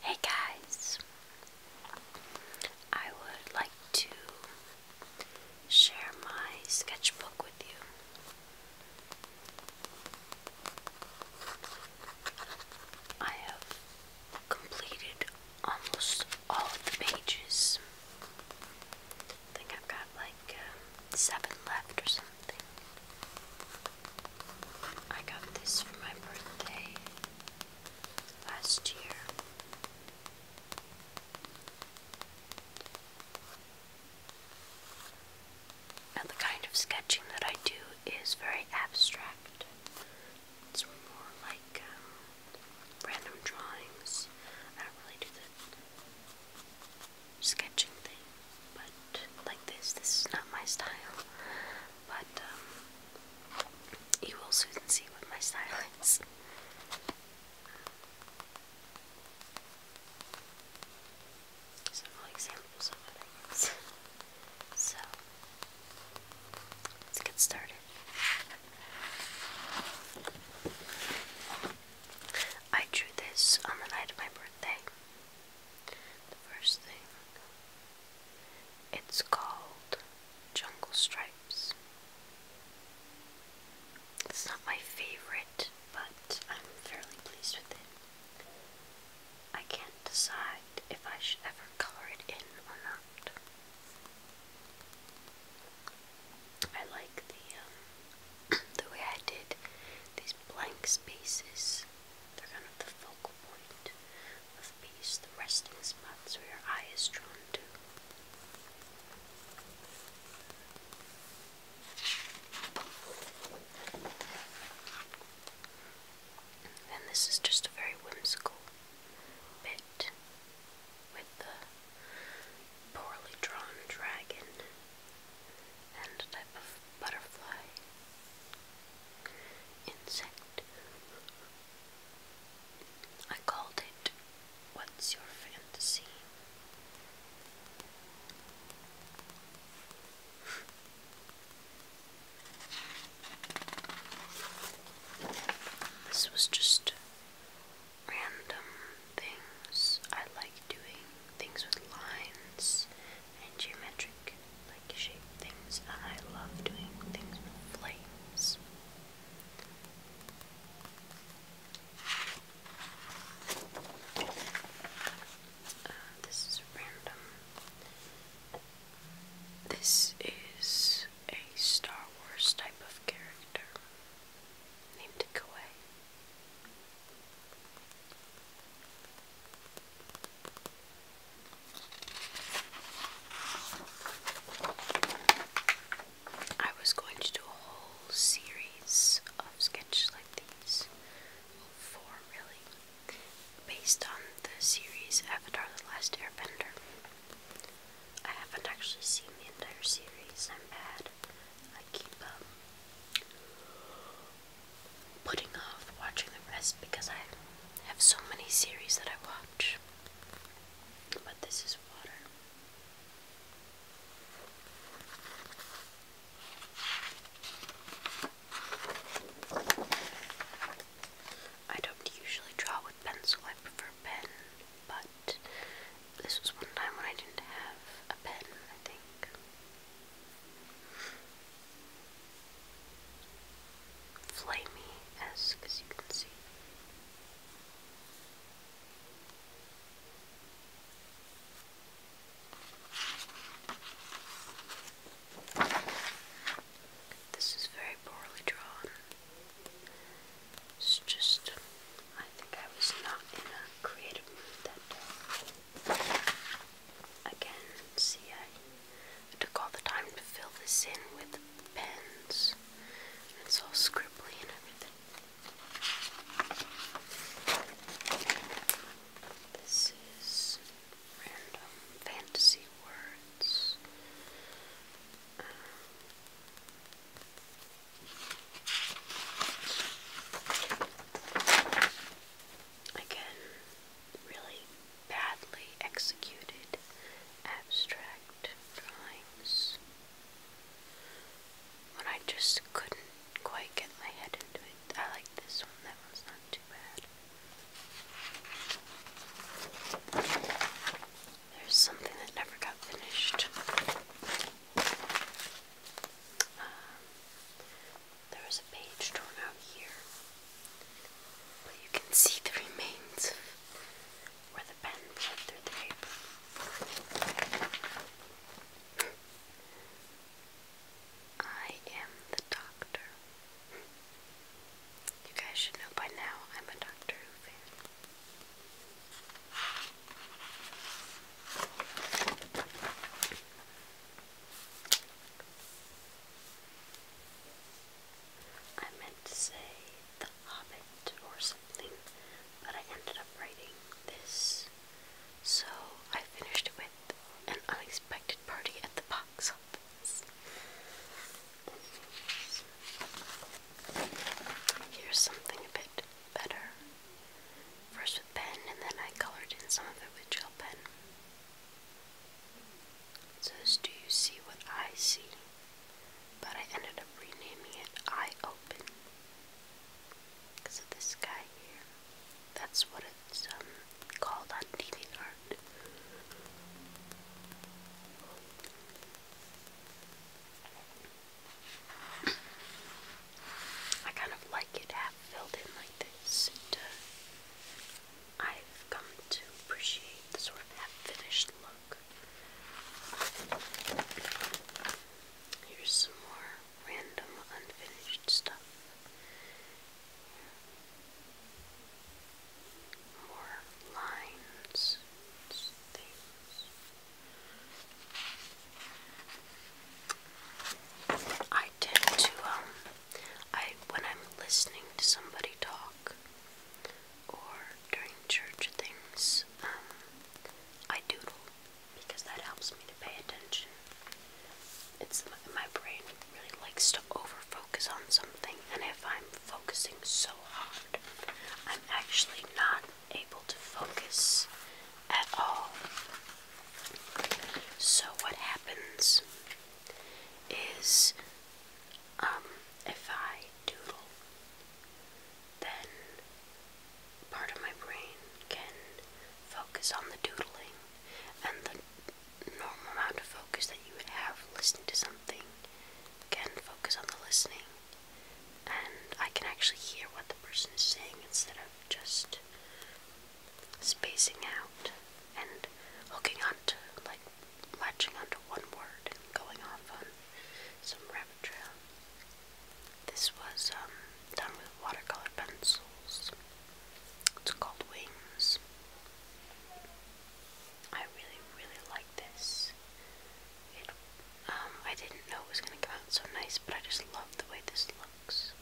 Hey guys, I would like to share my sketchbook with you. I have completed almost all of the pages. I think I've got like uh, seven left I got this for my birthday last year. Now, the kind of sketching that I do is very abstract. It's more like um, random drawings. I don't really do the sketching thing but like this, this is not my style, but um, you will soon see what my style is. Several examples of what I So, let's get started. I drew this on the night of my birthday first thing, it's called Jungle Stripes. It's not my favorite, but I'm fairly pleased with it. I can't decide if I should ever color it in or not. I like the um, the way I did these blank spaces they're kind of the focal point of peace, the resting spots where your eye is drawn to. And this is just a very whimsical bit with the poorly drawn dragon and type of butterfly, insect. I called it What's Your Fantasy? This was just random things. I like doing things with lines and geometric like shape things and I love doing things with flames. Uh, this is random. This is a Star Wars type of character named Kawaii. I was going to do a whole series of sketches like these, four really, based on the series Avatar The Last Airbender. I haven't actually seen the entire series, I'm bad. I keep, um, putting off watching the rest because I have so many series that I watch. But this is water. I don't usually draw with pencil, I prefer pen, but this was one time when I didn't have a pen, I think flamey as as you can see. This is very poorly drawn. It's just, I think I was not in a creative mood that day. Again, see, I took all the time to fill this in with pens. It's all scribbly and everything. This is random fantasy words. Um, again, really badly executed abstract drawings when I just couldn't quite get my head into it. I like this one, that one's not too bad. There's something that never got finished. Um, there is a page torn out here, but you can see the remains where the pen bled through the paper. I am the doctor. You guys should know by now I'm a Doctor Who fan. I meant to say The Hobbit or something, but I ended up writing this. So I finished with An Unexpected Party at the Box Office. Here's something a bit better. First with pen, and then I colored in some of it with gel pen says, Do you see what I see? But I ended up renaming it Eye Open. Because of this guy here. That's what it's um, called on DeviantArt. I kind of like it filled in like this, I've come to appreciate the sort of half look. Here's some more random unfinished stuff. More lines, things. I tend to um I when I'm listening to somebody talk or during church things, um, I doodle because that helps me to pay attention. It's my brain really likes to over focus on something and if I'm focusing so hard, I'm actually not able to focus at all so what happens is um, if I doodle then part of my brain can focus on the doodling and the normal amount of focus that you would have listening to something can focus on the listening and I can actually hear what the person is saying instead of just spacing out and hooking onto, like, latching onto one word and going off on some rabbit trail. This was um, done with watercolor pencils. It's called Wings. I really, really like this. It, um, I didn't know it was going to come out so nice, but I just love the way this looks.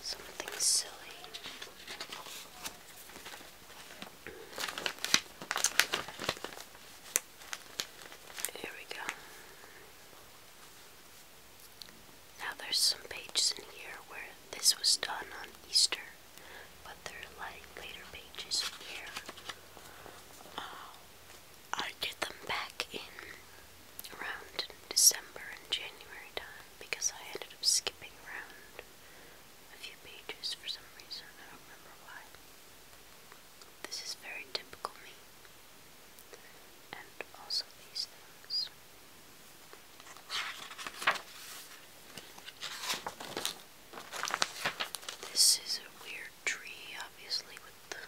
Something silly. Here we go. Now there's some pages in here where this was done on Easter but they're like later pages here. Uh, I did them back in around December and January time because I ended up skipping around a few pages for some reason. I don't remember why. This is very typical me. And also these things. This is a weird tree, obviously, with the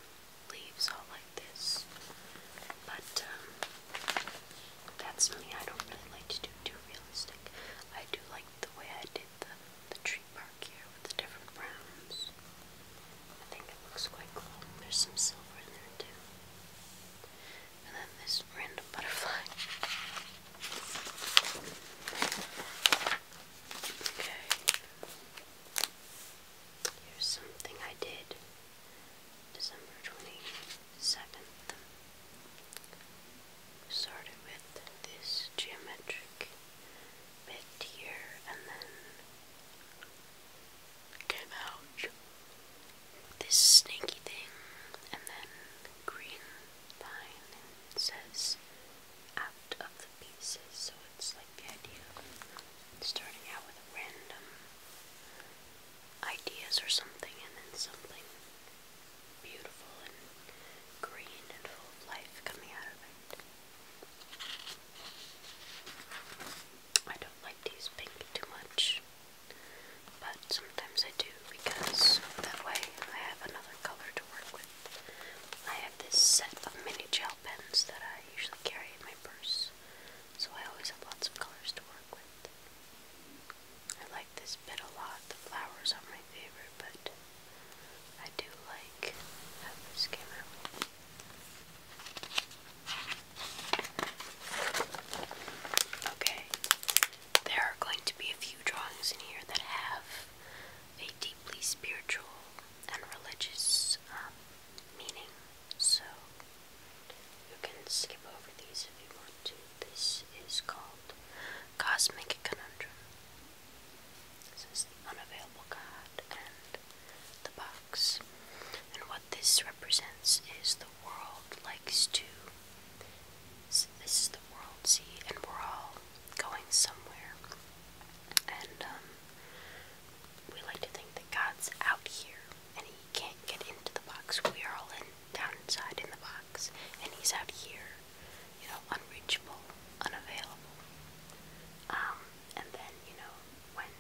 leaves all like this. But um, that's me. I don't really like to do too realistic. I do like the way I did the the tree part here with the different browns. I think it looks quite cool. There's some silver in there too. And then this random butterfly. Okay. Here's something I did December 22nd. Started with this geometric bit here and then came out this snaky thing and then green line says out of the pieces. So it's like the idea of starting out with random ideas or something, and then something beautiful and green and full of life coming out of it. I don't like these pink too much, but sometimes I do because that way I have another color to work with. I have this set of mini gel pens that I usually carry in my purse, so I always have lots of colors to work with. I like this bit a lot. The flowers are my favorite, but I do like how this Okay, there are going to be a few drawings in here that have a deeply spiritual and religious um, meaning. So you can skip over these if you want to. This is called Cosmic Conundrum. This is the unavailable God and the box. And what this represents is the world likes to. This is the world, see, and we're all going somewhere. And um, we like to think that God's out here and he can't get into the box. We are all in, down inside in the box, and he's out here, you know, unreachable, unavailable. Um, and then, you know, when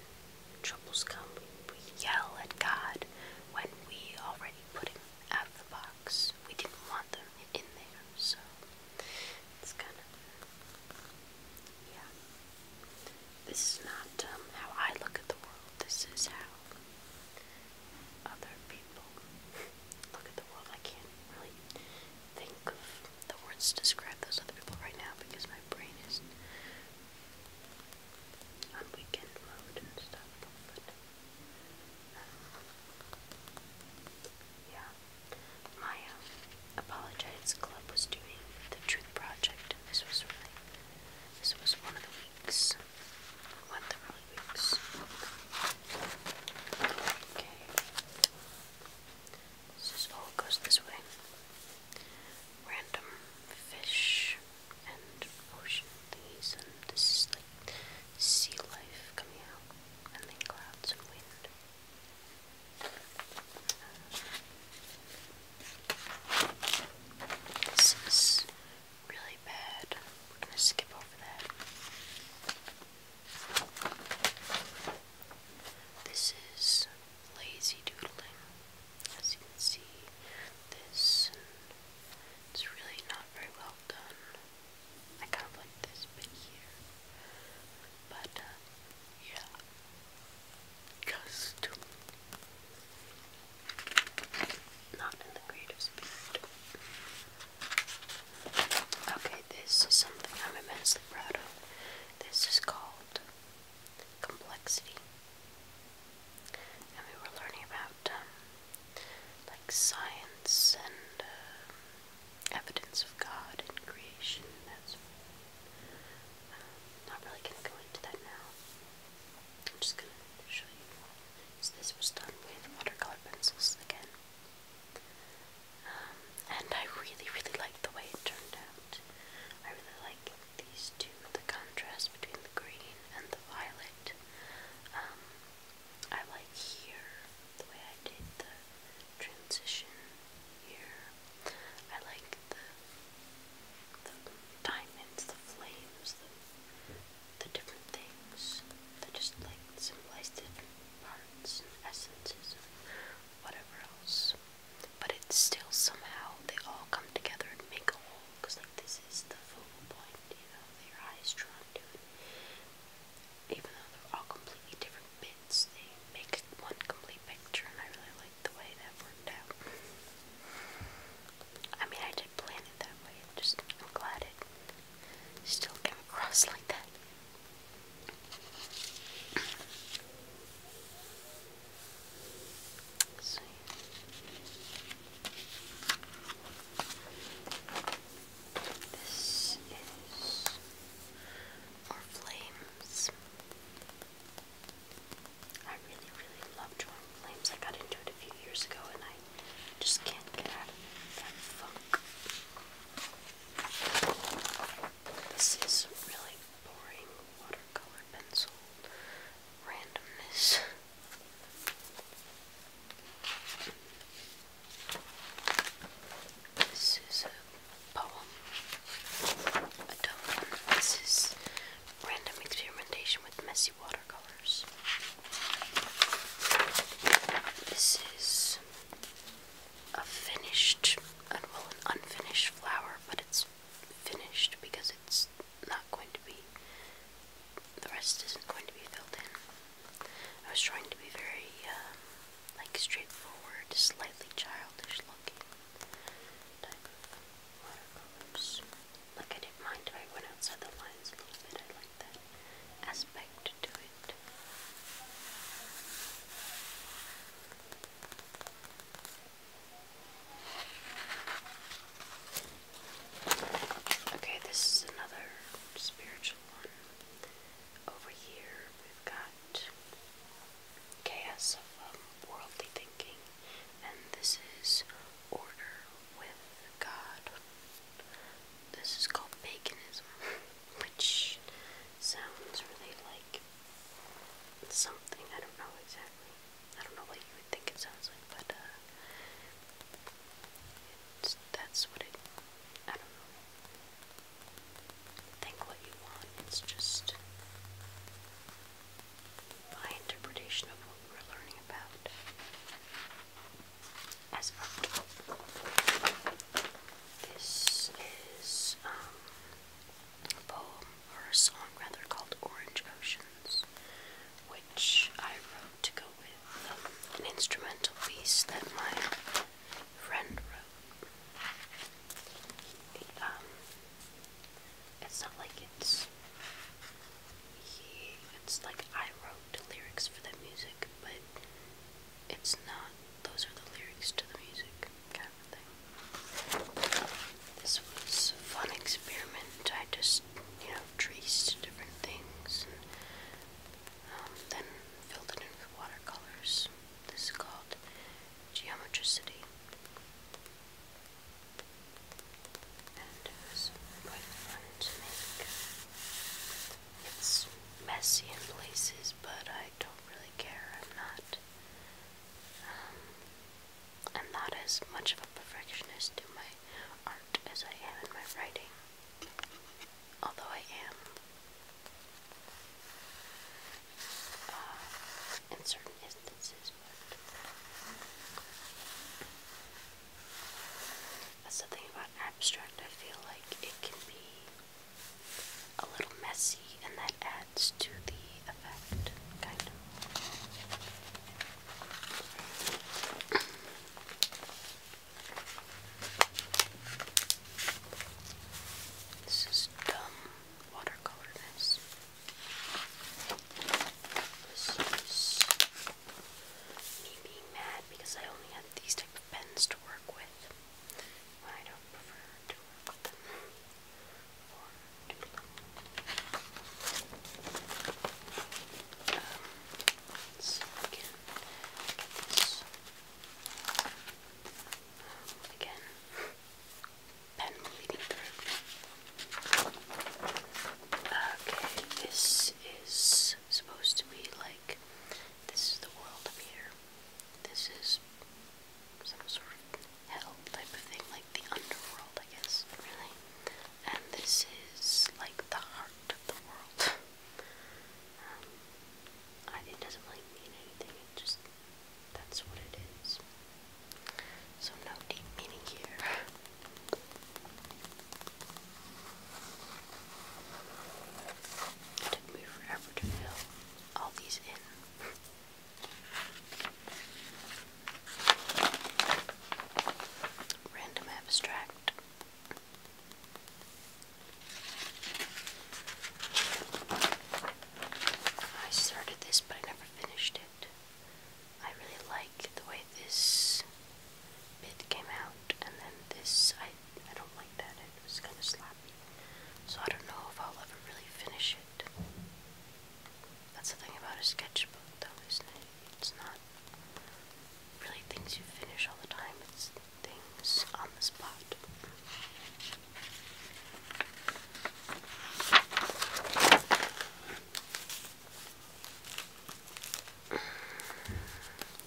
troubles come, we, we yell at God when we already put him out of the box. We didn't want them in there, so it's kind of, yeah. This is not um, how I look at the world, this is how other people look at the world. I can't really think of the words to describe those other people right now because my brain is on weekend mode and stuff, but yeah. My um, Club was doing the Truth Project, this was really, this was one of the weeks. One of the weeks. Okay. This is all goes this way. Random fish and ocean things, and this is the like sea life coming out, and then clouds and wind. This is really bad. We're gonna skip over that. This is lazy doodling. As you can see, this it's really not very well done. I kind of like this bit here, but uh, yeah, just not in the creative Okay, this is something I'm immensely proud of. This is called complexity, and we were learning about um, like science and um, evidence of God and creation. That's I'm um, not really gonna go into that now. I'm just gonna show you. this was done with watercolor pencils again. Um, and I really, really like the way it turned out. I really like these two, the contrast between the green and the violet. I like here, the way I did the transition here. I like the the diamonds, the flames, the, the different things that just like symbolize different parts and essences and whatever else. But it's still somehow they all come together and make a whole because like this is the full point, you know, that your eyes trying to it even though they're all completely different bits, they make one complete picture, and I really like the way that worked out. I mean, I did plan it that way, I'm just I'm glad it still came across like that. let this is our flames. I really, really love drawing flames. I got into it a few years ago and I just can't get out of that funk. This is really boring watercolor pencil randomness. This is a poem, a tough This is random experimentation with messy watercolors. This is a finished, well, an unfinished flower, but it's finished because it's not going to be the rest isn't going to be filled in. I was trying to be very, um, like straightforward, slightly childish looking Like I didn't mind if I went outside the lines a little bit, I like that aspect to it. Okay, this is another spiritual one. Over here we've got chaos of um, worldly thinking, and this is order with God. This is called paganism, which sounds really like something. I don't know exactly. I don't know what you would think it sounds like, but uh, that's what it. I don't know. Think what you want. It's just my interpretation of what we're learning about as art. This is um, a poem or a song rather called Orange Oceans, which I wrote to go with an instrumental piece that my friend wrote. Um, it's not like it's it's like I wrote the lyrics for the music, but it's not. Those are the lyrics to the music, kind of thing. This was a fun experiment. I just, you know, traced different things and um, then filled it in with watercolors. This is called geometricity. And uh, it was quite fun to make. It's messy in places, but I don't really care. I'm not. Um, I'm not as much of a perfectionist to my art as I am in my writing although I am uh, in certain instances, that's the thing about abstract. I feel like it can be a little messy, and that adds to the effect, kind of. This is dumb watercolorness. This is me being mad because I only have these type of pens to work with. I don't prefer to work with them so again, get this again. Pen bleeding through. Okay, this is supposed to be like this is the world up here. This is some sort of hell type of thing, like the underworld, I guess, really. And this is like the heart of the world. Um, it doesn't really mean anything, it just, that's what it is. So no deep meaning here. took me forever to fill all these in. Random abstract. I started this, but I never finished it. I really like the way this bit came out, and then this, I, I don't like that, it was kind of sloppy. So I don't know if I'll ever really finish it. That's the thing about a sketchbook, though, isn't it? It's not really things you finish all the time, it's things on the spot.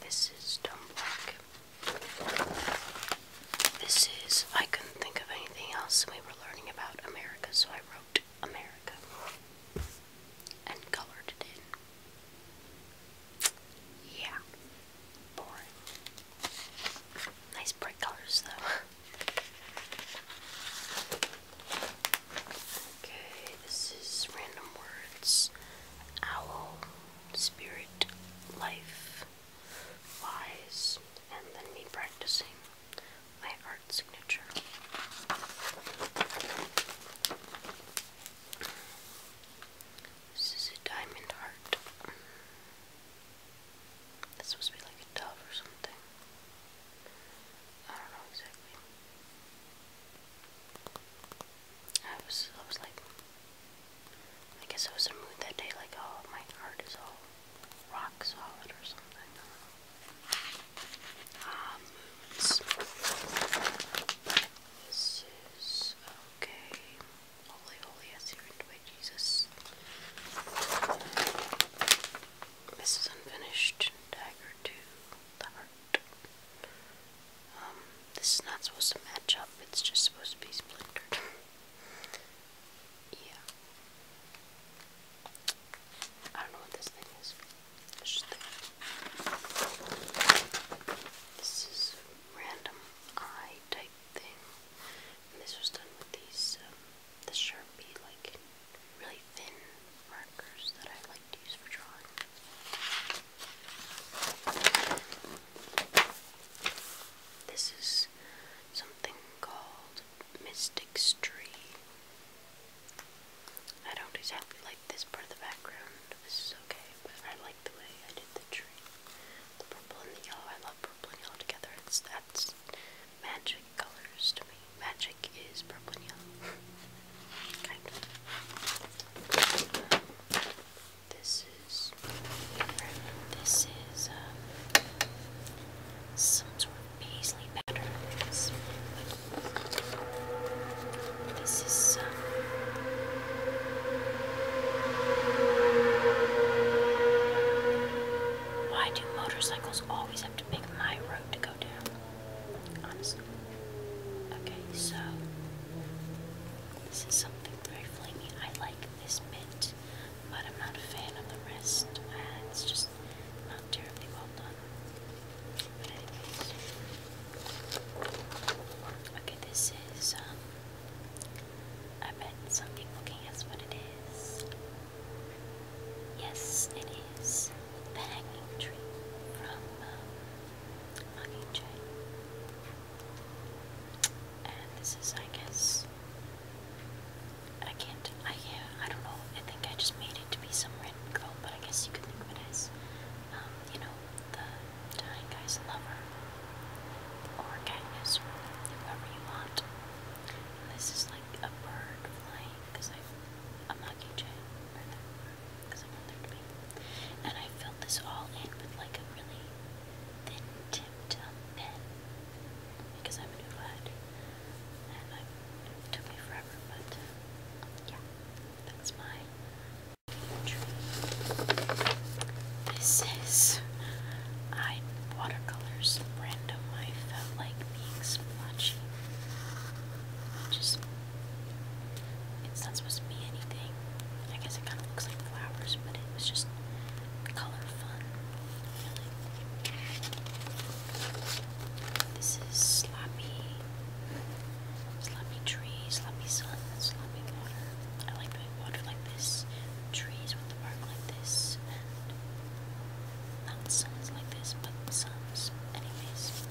This is Dumb Black. This is, I couldn't think of anything else, we were learning about America, so I wrote America and colored it in. Yeah. Boring. Nice bright colors though. okay, this is random words. Owl, spirit, life, wise, and then me practicing my art signature. This is a diamond heart. That's supposed to be like a dove or something. I don't know exactly. I was, I was like, I guess I was in a mood that day, like, oh, my heart is all rock solid or something. Ah, this is okay. Holy, holy, I see into Jesus. This unfinished. Dagger to the heart. Um, this is not supposed to match up, it's just supposed to be splintered. yeah. I don't know what this thing is. This is random eye type thing. this was done with these, um, the Sharpie, like, really thin markers that I like to use for drawing. This is something called Mystic Street. I don't exactly like this part of the background. This is okay, but I like the way I did the tree. The purple and the yellow. I love purple and yellow together. It's that's magic colors to me. Magic is purple and yellow. kind of. this is this is um, some sort of paisley pattern. This is. Uh, why do motorcycles always have to pick my road to go down? Honestly. Okay, so. This is something very flamy. I like this bit, but I'm not a fan of the rest. it's just not terribly well done. Okay, this is, um, I bet something looking at what it is. Yes, it is the hanging tree from, uh, And this is, I guess, I can't, I, yeah, I don't know, I think I just made it to be some red glow, but I guess you could think of it as um, you know, the dying guy's lover, or Katniss, whoever you want. this is like a bird flying, because I'm not KJ, because I want there to be. And I filled this all in with like a really thin tip um, pen, I'm a new and it took me forever, but uh, yeah. That's my tree. This is I watercolors random. I felt like being splotchy. Just it's not supposed to be anything. I guess it kind of looks like flowers, but it was just color fun. This is sloppy Slappy trees, slappy sun, slappy water. I like doing water like this, trees with the bark like this, and not suns like this, but suns. Anyways,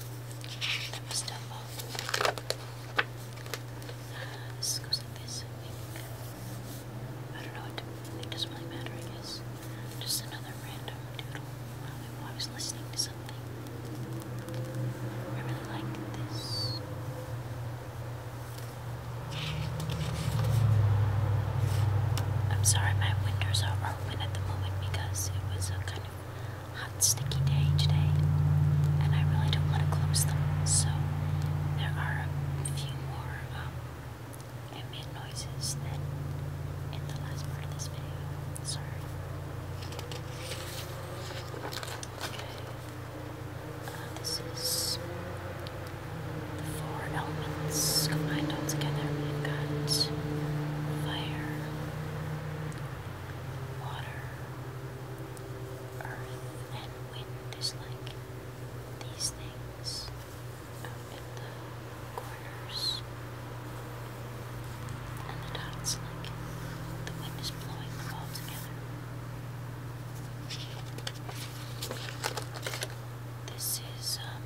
that was double. Uh, this goes like this, I think. I don't know, it, it doesn't really matter, I guess. Just another random doodle. I, I was listening to I really like this. I'm sorry my windows are open at the moment because it was a kind of hot sticky day today and I really don't want to close them so there are a few more um, ambient noises than in the last part of this video. Sorry this is the four elements combined together. We've got fire, water, earth, and wind is these things in the corner. And the dots like the wind is blowing them all together. This is um,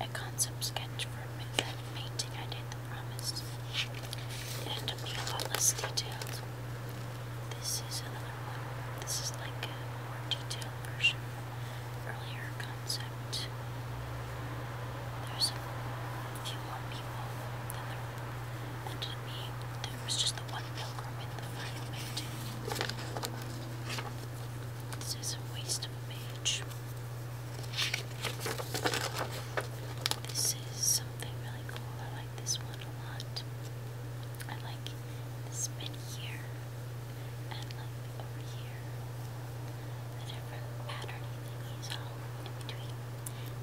a concept sketch for that painting I did, The Promise. and ended up a lot less detailed. This is another one. This is like a more detailed version earlier concept. There's a few more people than there ended There was just the one pilgrim in the final painting. This is a waste of a This is something really cool. I like this one a lot. I like this bit here and like over here.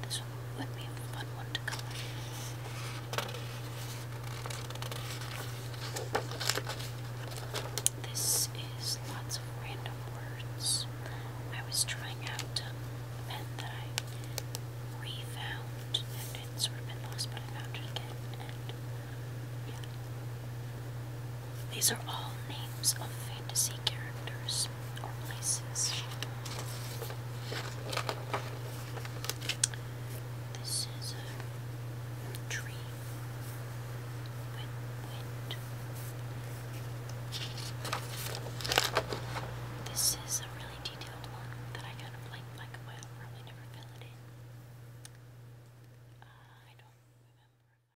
This one would be a fun one to color. is lots of random words. I was trying out a pen that I refound and it's sort of been lost, but I found it again. These are all names of fantasy characters or places. This is a tree This is a really detailed one that I kind of like, like probably never filled it in. Uh, I don't remember.